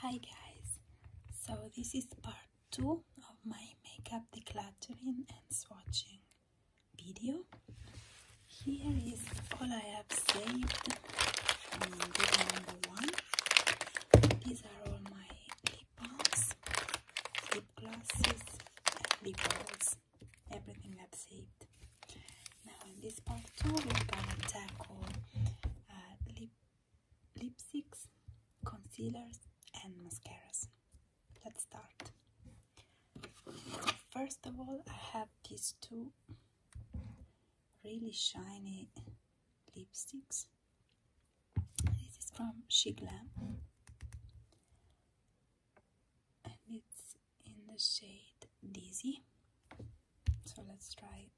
Hi guys, so this is part 2 of my makeup decluttering and swatching video. Here is all I have saved from video number 1. These are all my lip balms, lip glosses, lip balls, everything that's saved. Now in this part 2 we're gonna tackle uh, lip lipsticks, concealers and mascaras. Let's start. First of all, I have these two really shiny lipsticks. This is from She Glam and it's in the shade Dizzy. So let's try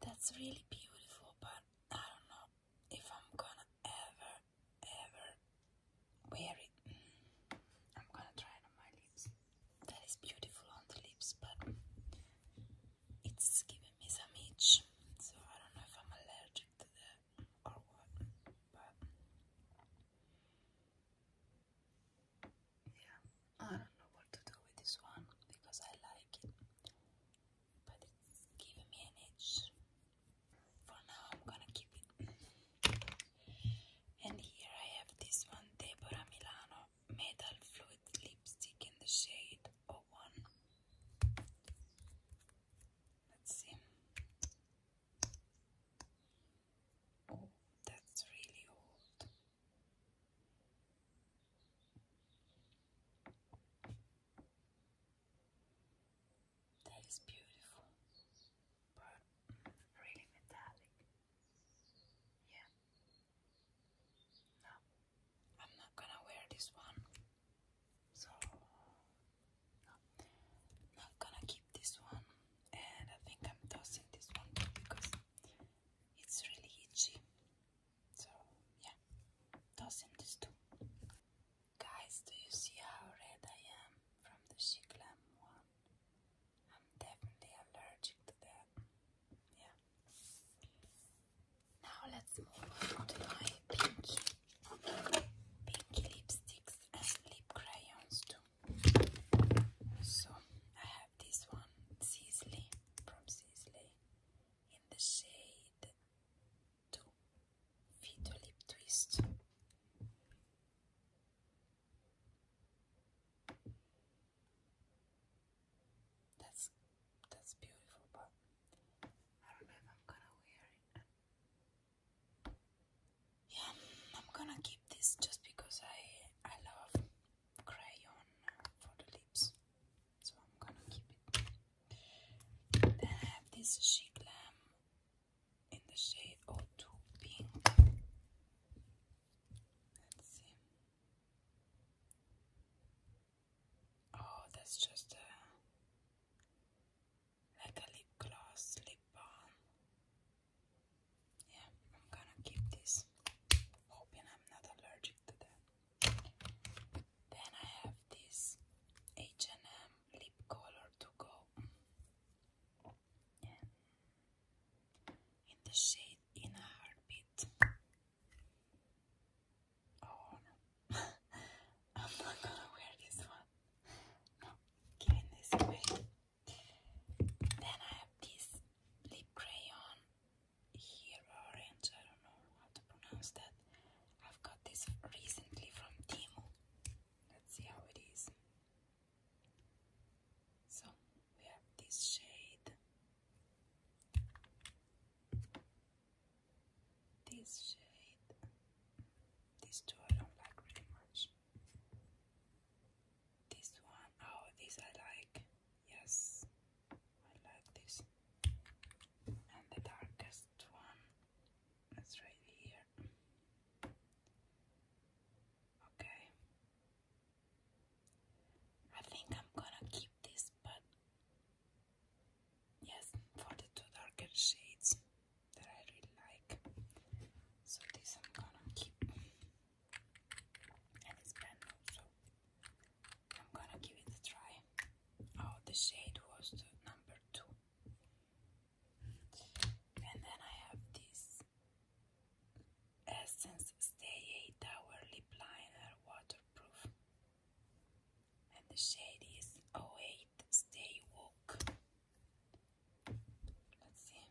that's really beautiful, but I don't know if I'm gonna ever, ever wear it. Mm. I'm gonna try it on my lips that is beautiful on the lips, but it's giving me some itch, so I don't know if I'm allergic to that or what, but yeah, I don't know what to do with this one because I like it, but it's giving me an itch. For now, I'm gonna keep it. And here I have this one, Deborah Milano. Metal Fluid Lipstick in the shade 01. Let's see. Oh, that's really old. That is beautiful, but really metallic. Yeah. No, I'm not gonna wear this one. So, not gonna keep this one. And I think I'm tossing this one because it's really itchy. So, yeah, tossing this too. Guys, do you see how red I am from the Shiklam one? I'm definitely allergic to that. Yeah. Now let's move on to my pinky, lipsticks and lip crayons too. So I have this one, Sisley from Sisley, in the shade to Vito Lip Twist. That's that's beautiful, but I don't know if I'm gonna wear it. Yeah, I'm gonna keep this just because I I love crayon for the lips, so I'm gonna keep it. Then I have this chic lamp in the shade O2 pink. Let's see. Oh, that's just a like a lip gloss, lip balm. Yeah, I'm gonna keep this, hoping I'm not allergic to that. Then I have this H&M lip color to go in the shade in a heartbeat. Oh no, I'm not gonna wear this one. No, giving this away. Then I have this lip crayon here, orange. I don't know how to pronounce that. I've got this recently from Timu. Let's see how it is. So we have this shade, this shade, these two I don't like really much. This one, oh, this I like, yes, I like this. And the darkest one is right here. Okay, I think I'm gonna keep this, but yes, for the two darker shades that I really like. So this I'm gonna keep, and it's brand new, I'm gonna give it a try. Oh, the shade was the number two, and then I have this Essence Stay 8 Hour Lip Liner Waterproof. And the shade is 08 Stay Woke. Let's see.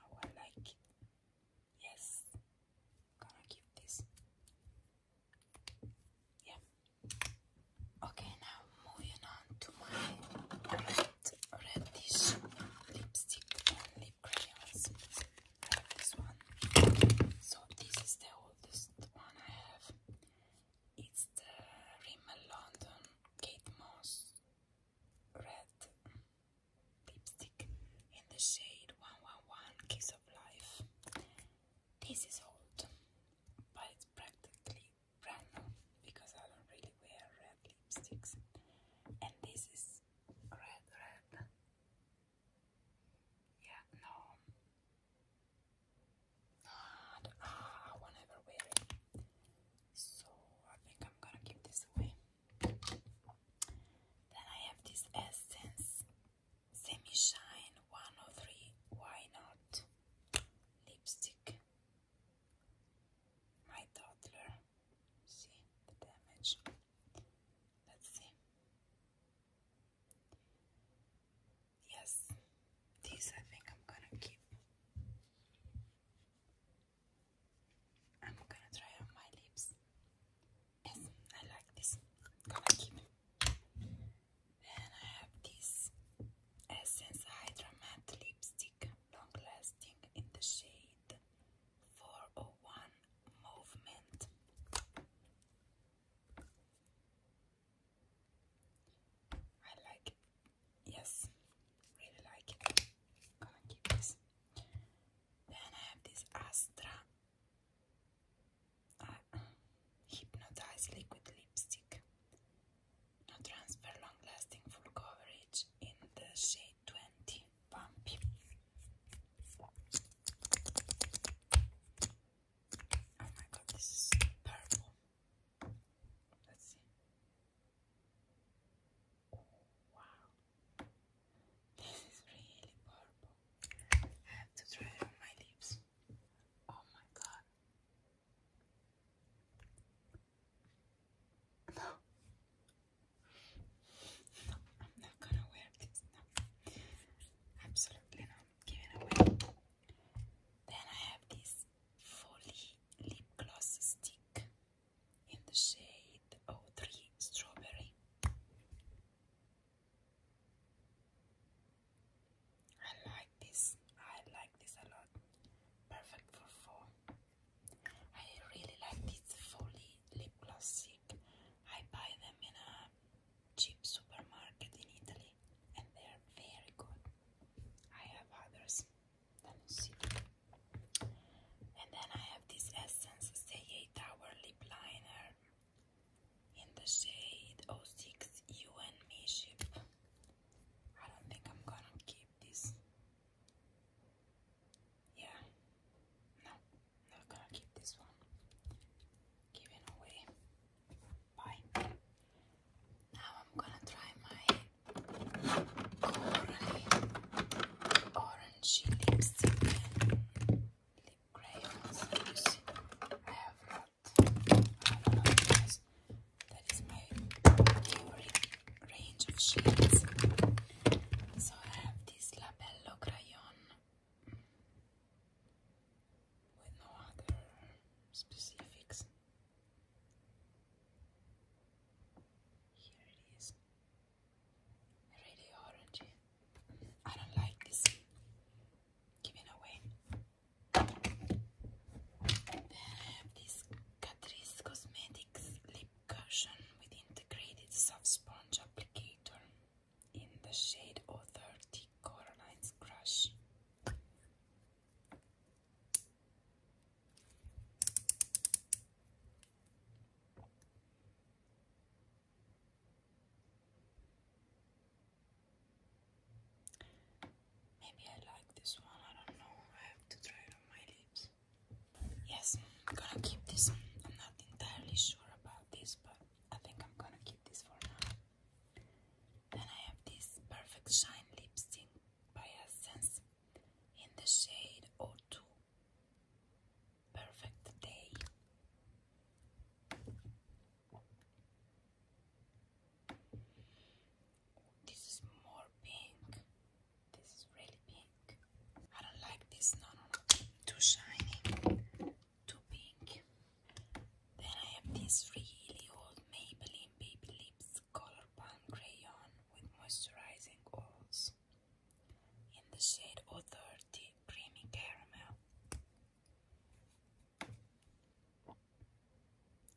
Oh, I like it. Yes. Gonna give this. Yeah. Okay, now moving on to my reddish lipstick lip crayons. this one. So this is the oldest one I have. It's the Rimmel London Kate Moss red lipstick in the shade 111 Kiss of Life. This is old, but it's practically brown because I don't really wear red lipsticks. And this is red, red. Yeah, no. ah, I won't ever wear it. So I think I'm gonna give this away. Then I have this Essence Semi Shine 103 Why Not lipstick. My toddler see the damage. Let's see. Yes, these I think I'm gonna keep. I'm gonna try on my lips. Yes, I like this. gonna keep. And I have this Essence Hydra Matte Lipstick long-lasting in the shade 401 movement. I like Yes, really like it. Gonna keep this. Then I have this Astra uh, Hypnotize Liquid Lipstick. No transfer long-lasting full coverage in the shade 20 Bumpy. Oh my god, this is purple. Let's see. Oh, wow. This is really purple. I have to try it on my lips. Oh my god. No. No, I'm not gonna wear this. Absolutely not. Give away. Then I have this Folly lip gloss stick in the shade 03 Strawberry. I like this. I like this a lot. Perfect for fall. I really like this Folly lip gloss stick. I buy them in a cheap supermarket in Italy and they are very good. I have others. Let me see. And then I have this Essence Stay 8 Hour Lip Liner in the shade 06 You and Me Ship. I don't think I'm gonna keep this. Yeah, no, not gonna keep this one. Giving away. Bye. Now I'm gonna try my Coralie orangey lipstick lip crayons. I have got that is my favorite range of shades. So I have this Labello Crayon with no other specifics. Here it is. Really orangey. I don't like this. Giving away. Then I have this Catrice Cosmetics Lip Cushion with Integrated Soft Sponge Applicator in the shade Authority Coraline's Crush. Maybe I like this one, I don't know. I have to try it on my lips. Yes, am gonna keep this. I'm not entirely sure about this, but I think I'm gonna keep this for now. Then I have this Perfect Shine Lipstick by Essence in the shade O2. Perfect Day this is more pink. This is really pink. I don't like this. No, no, no. Too shiny. Too pink. Then I have this really old Maybelline Baby Lips Color Palm Crayon with Moisturizing Oils in the shade Authority Creamy Caramel. Oh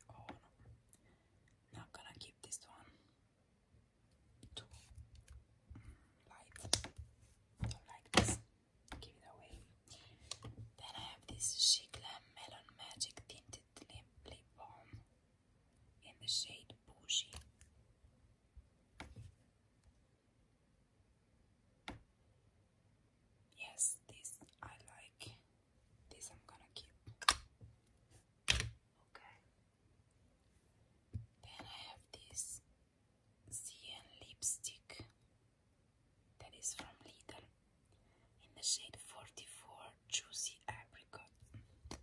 no. Not gonna keep this one. Too light. Don't like this. Give it away. Then I have this Shigla Melon Magic Tinted Lip Balm in the shade Bougie. Yes, this I like. This I'm gonna keep. Okay. Then I have this CN lipstick that is from Lidl in the shade 44 Juicy Apricot. Mm.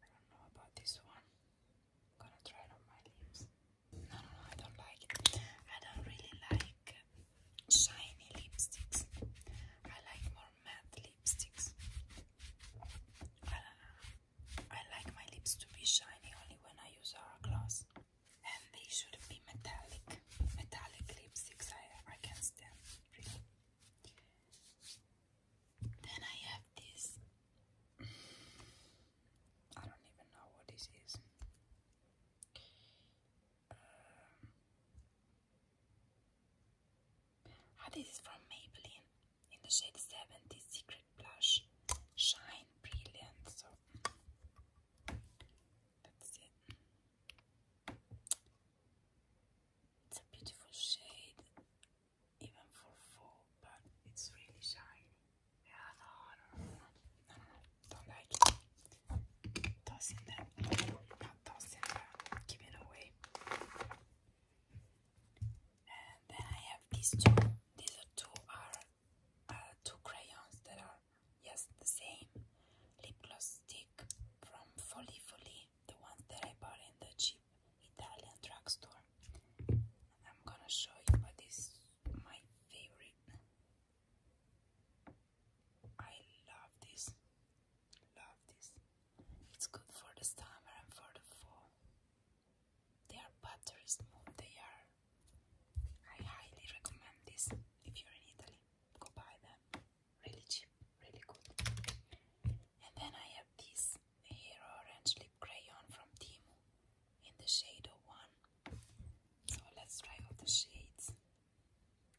I don't know about this one gonna try it on my lips. No, no, no, I don't like it. I don't really like shiny lipsticks. I like more matte lipsticks. I, I like my lips to be shiny only when I use our gloss. And they should be metallic. Metallic lipsticks I, I can't stand, really. Then I have this. I don't even know what this is. Um, ah, this is from Maybelline in the shade 70 Secret Blush Shine Brilliant. that's it. It's a beautiful shade even for fall, but it's really shiny. Yeah, no, no, no, don't like it. Toss in there, not toss give it away. And then I have these two. These two are uh, two crayons that are yes the same lip gloss stick from Folly Folly, the ones that I bought in the cheap Italian drugstore. I'm gonna show you but this is my favorite. I love this. Love this. It's good for the summer and for the fall. Their butter is smooth. They are. I highly recommend this if you're in Italy. Go buy them. Really cheap, really good. And then I have this here orange lip crayon from Timu in the shade 01. So let's try all the shades.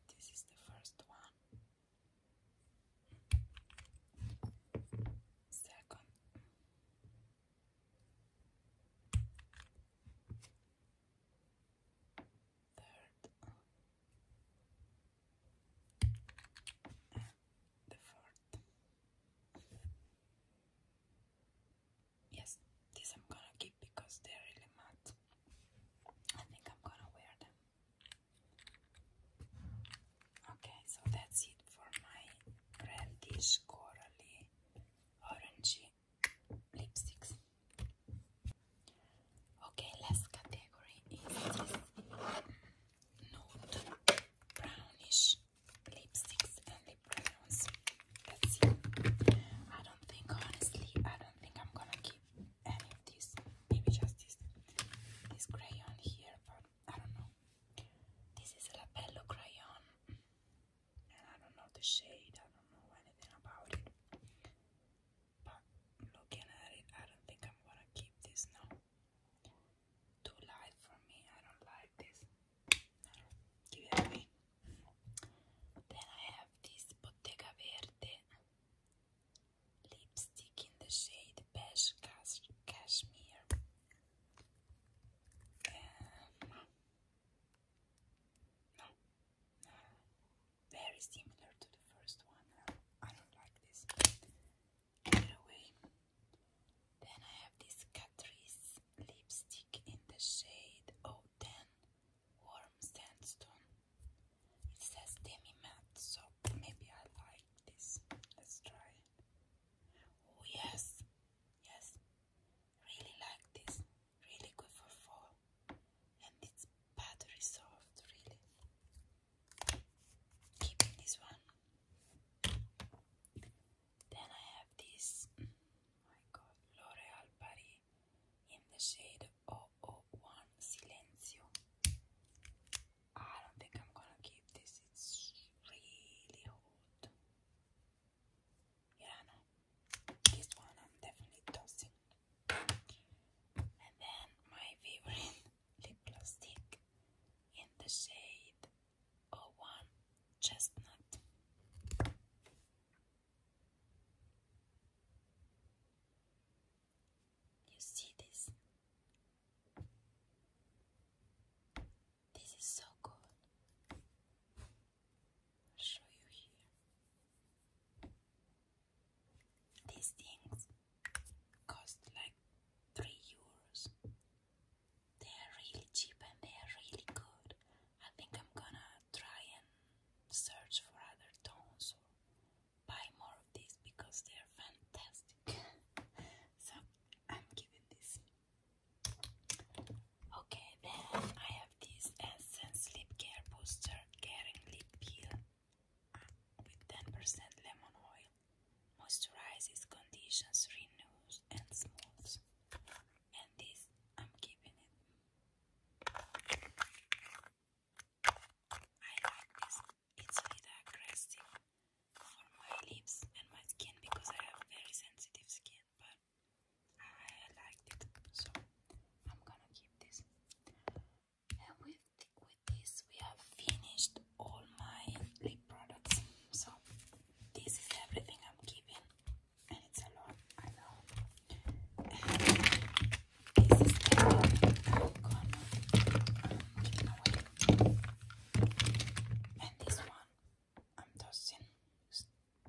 This is the first one. Second. Third. the fourth. Yes, these I'm gonna keep because they're really matte. I think I'm gonna wear them. Okay, so that's it for my reddish, corally, orangey lipsticks. Okay, last category is this um, nude brownish lipsticks and lip crayons. Let's I don't think, honestly, I don't think I'm gonna keep any of this. Maybe just this, this crayon here, I don't know. This is a lapello crayon, and I don't know the shade. I don't know anything about it. But looking at it, I don't think I'm gonna keep this now. Too light for me. I don't like this. No, give it Then I have this Bottega Verde lipstick in the shade Beige Cash Cashmere. Um, very similar to the first one. I don't like this. Then I have this Catrice lipstick in the shade 010 Warm Sandstone. It says demi matte, so maybe I like this. Let's try Oh, yes, yes, really like this. Really good for fall, and it's battery soft, really keeping this one. Then I have this, oh my god, L'Oreal Paris in the shade 001 Silencio. Ah, I don't think I'm gonna keep this, it's really hot. Yeah, no, this one I'm definitely tossing. And then my favorite lip in the shade 01 Chestnut. You see this? This is so cool. show you here. These things cost like 3 euros. They are really cheap and they are really good. I think I'm gonna try and search for other tones or buy more of these because they are fantastic. so I'm giving this. Okay, then I have this Essence Lip Care Booster Caring Lip Peel with 10% lemon oil, moisturizes, conditions, renews, and smooths. And this, I'm keeping it. I like this. It's really aggressive for my lips and my skin because I have very sensitive skin, but I liked it, so I'm gonna keep this with, with this, we have finished all my lip products. So, this is everything I'm giving, and it's a lot, I know. this is everything I'm gonna And this one, I'm tossing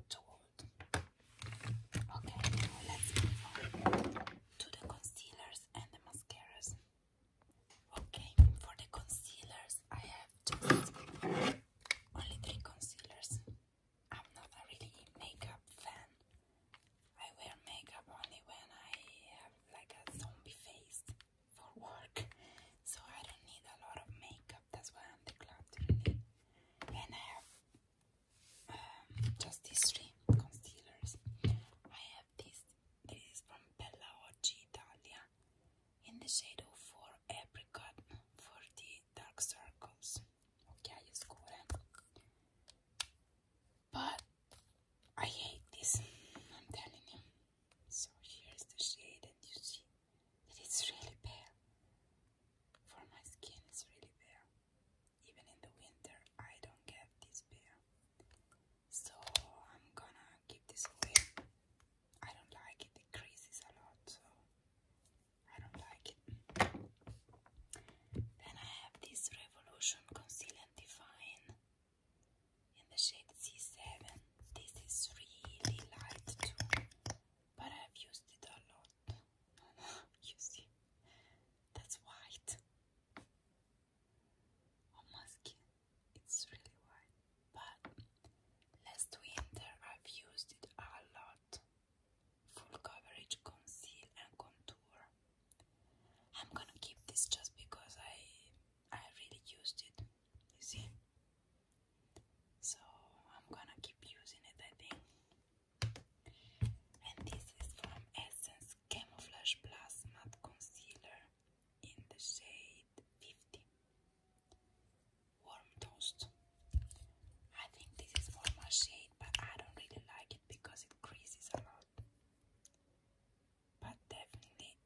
to wood. Okay, let's move on to the concealers and the mascaras. Okay, for the concealers, I have just only three concealers. I'm not a really makeup fan. I wear makeup only when I have like a zombie face for work, so I don't need a lot of makeup. That's why I'm declared really. And I have um, just these three concealers. I this. This is from Bella Oggi Italia. In the shade of four apricot for the dark circles. Occhiaie scure. But I hate this, I'm telling you. So here's the shade and you see it's really bare. For my skin it's really bare. Even in the winter I don't get this bare so I'm gonna give this away. I don't like it, Decreases a lot, so I don't like it. Then I have this Revolution Conceal and Define in the shade C7. This is really light too, but I've used it a lot. you see, that's white on my skin. It's really white. But last winter I've used it a lot. Full coverage conceal and contour. I'm gonna keep this just because I I really used it. You see? So I'm gonna keep using it I think. And this is from Essence Camouflage Plus Matte Concealer in the shade 50. Warm Toast. I think this is more shade, but I don't really like it because it creases a lot. But definitely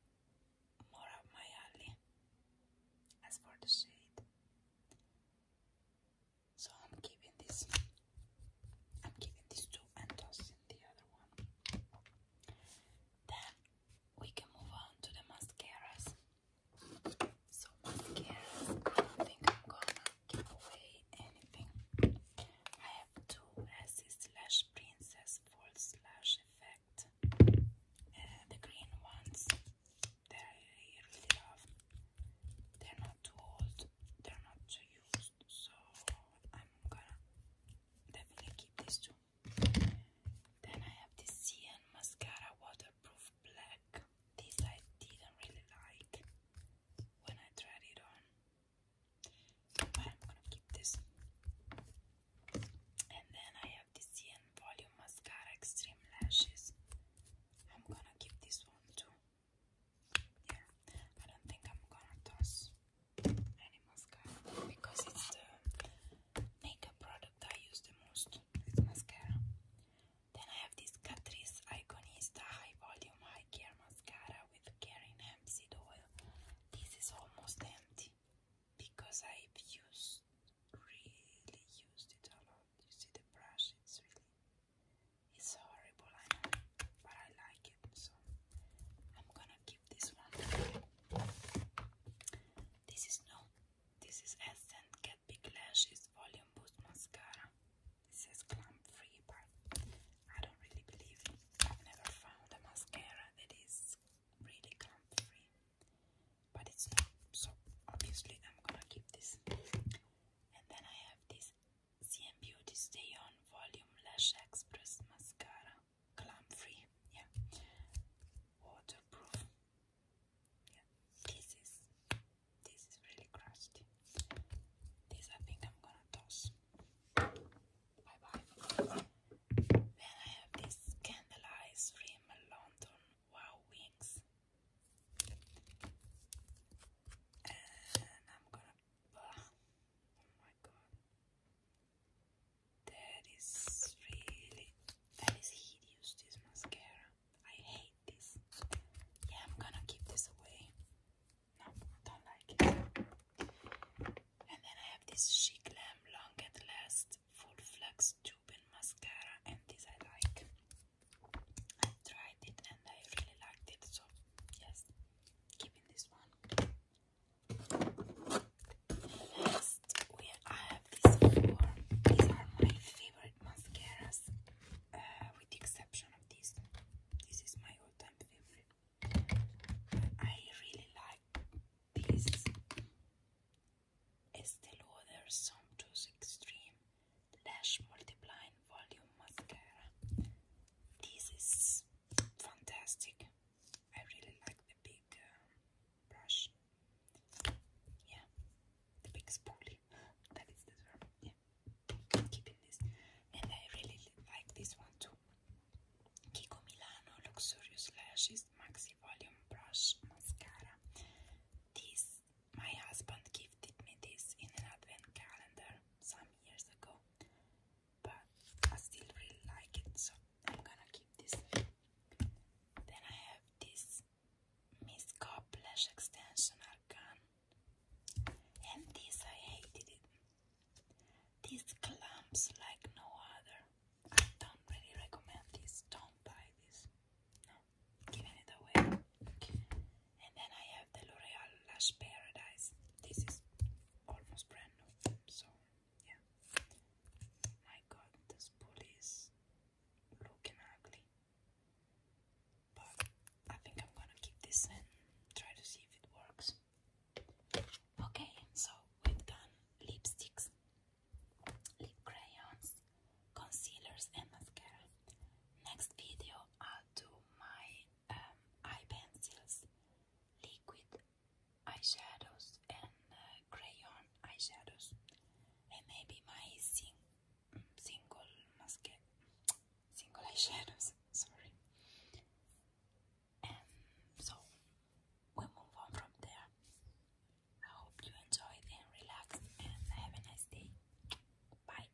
more of my alley. As for the shade. So I'm keeping this I'm giving these two and tossing the other one. Then we can move on to the mascaras. So mascaras, I don't think I'm gonna give away anything. I have two Essie slash Princess Fall slash Effect. Uh, the green ones that I really love. They're not too old, they're not so used, so I'm gonna definitely keep these two. Then I have this CN mascara waterproof black. This I didn't really like when I tried it on, but I'm gonna keep this. And then I have this CN volume mascara extreme lashes. I'm gonna keep this one too. Yeah, I don't think I'm gonna toss any mascara because it's the makeup product I use the most. It's mascara. Then I have this Catrice Iconista High Volume High Care Mascara with Carin Seed Oil. This is almost empty because I've used really used it a lot. You see the brush, it's really it's horrible, I know, but I like it, so I'm gonna keep this one. This is no, this is Essence Get Big Lashes Volume Boost Mascara. This is clump free, but I don't really believe it. I've never found a mascara that is really clump free, but it's not, so obviously I'm gonna keep this. And then I have this CM Beauty Stay On Volume Lash Express Mascara. Clump free, yeah. Waterproof. Yeah. This is this is really crusty. This I think I'm gonna toss. Bye bye. Then I have this Candle Eyes Rim London Wow Wings. And I'm gonna Oh my god. That is really that is hideous this mascara. I hate this. Yeah, I'm gonna keep this away. No, don't like it. And then I have this Chic Glam Long at Last Full Flux Tube in Mascara, and this I like. tried it and I really liked it, so yes keeping this one. Next, we I have these four. These are my favorite mascaras, uh, with the exception of this. This is my all-time favorite. I really like this Estee Lauder Somptuous Extreme Lash Multiplying volume mascara. This is fantastic. I really like the big um, brush. Yeah, the big spoolie. That is the term. Yeah, I'm keeping this. And I really like this one too. Kiko Milano Luxurious Lashes Maxi Volume Brush Mascara. This, my husband gifted me this in an advent calendar some years ago but I still really like it, so I'm gonna keep this. Then I have this Miscop Lash Extension Arcan, and this I hated it. These clumps like no other. I don't really recommend this. Don't buy this. No, giving it away. And then I have the L'Oreal Lash Paradise. This is almost brand new, so yeah. My god, this pool is looking ugly. But I think I'm gonna keep this and try to see if it works. Okay, so we've done lipsticks, lip crayons, concealers, and mascara. Next video, I'll do my um, eye pencils, liquid eyeshadows, and uh, crayon eyeshadows, and maybe my sing single mascara, single eyeshadows. Sorry. so we move on from there. I hope you enjoyed and relaxed, and have a nice day. Bye.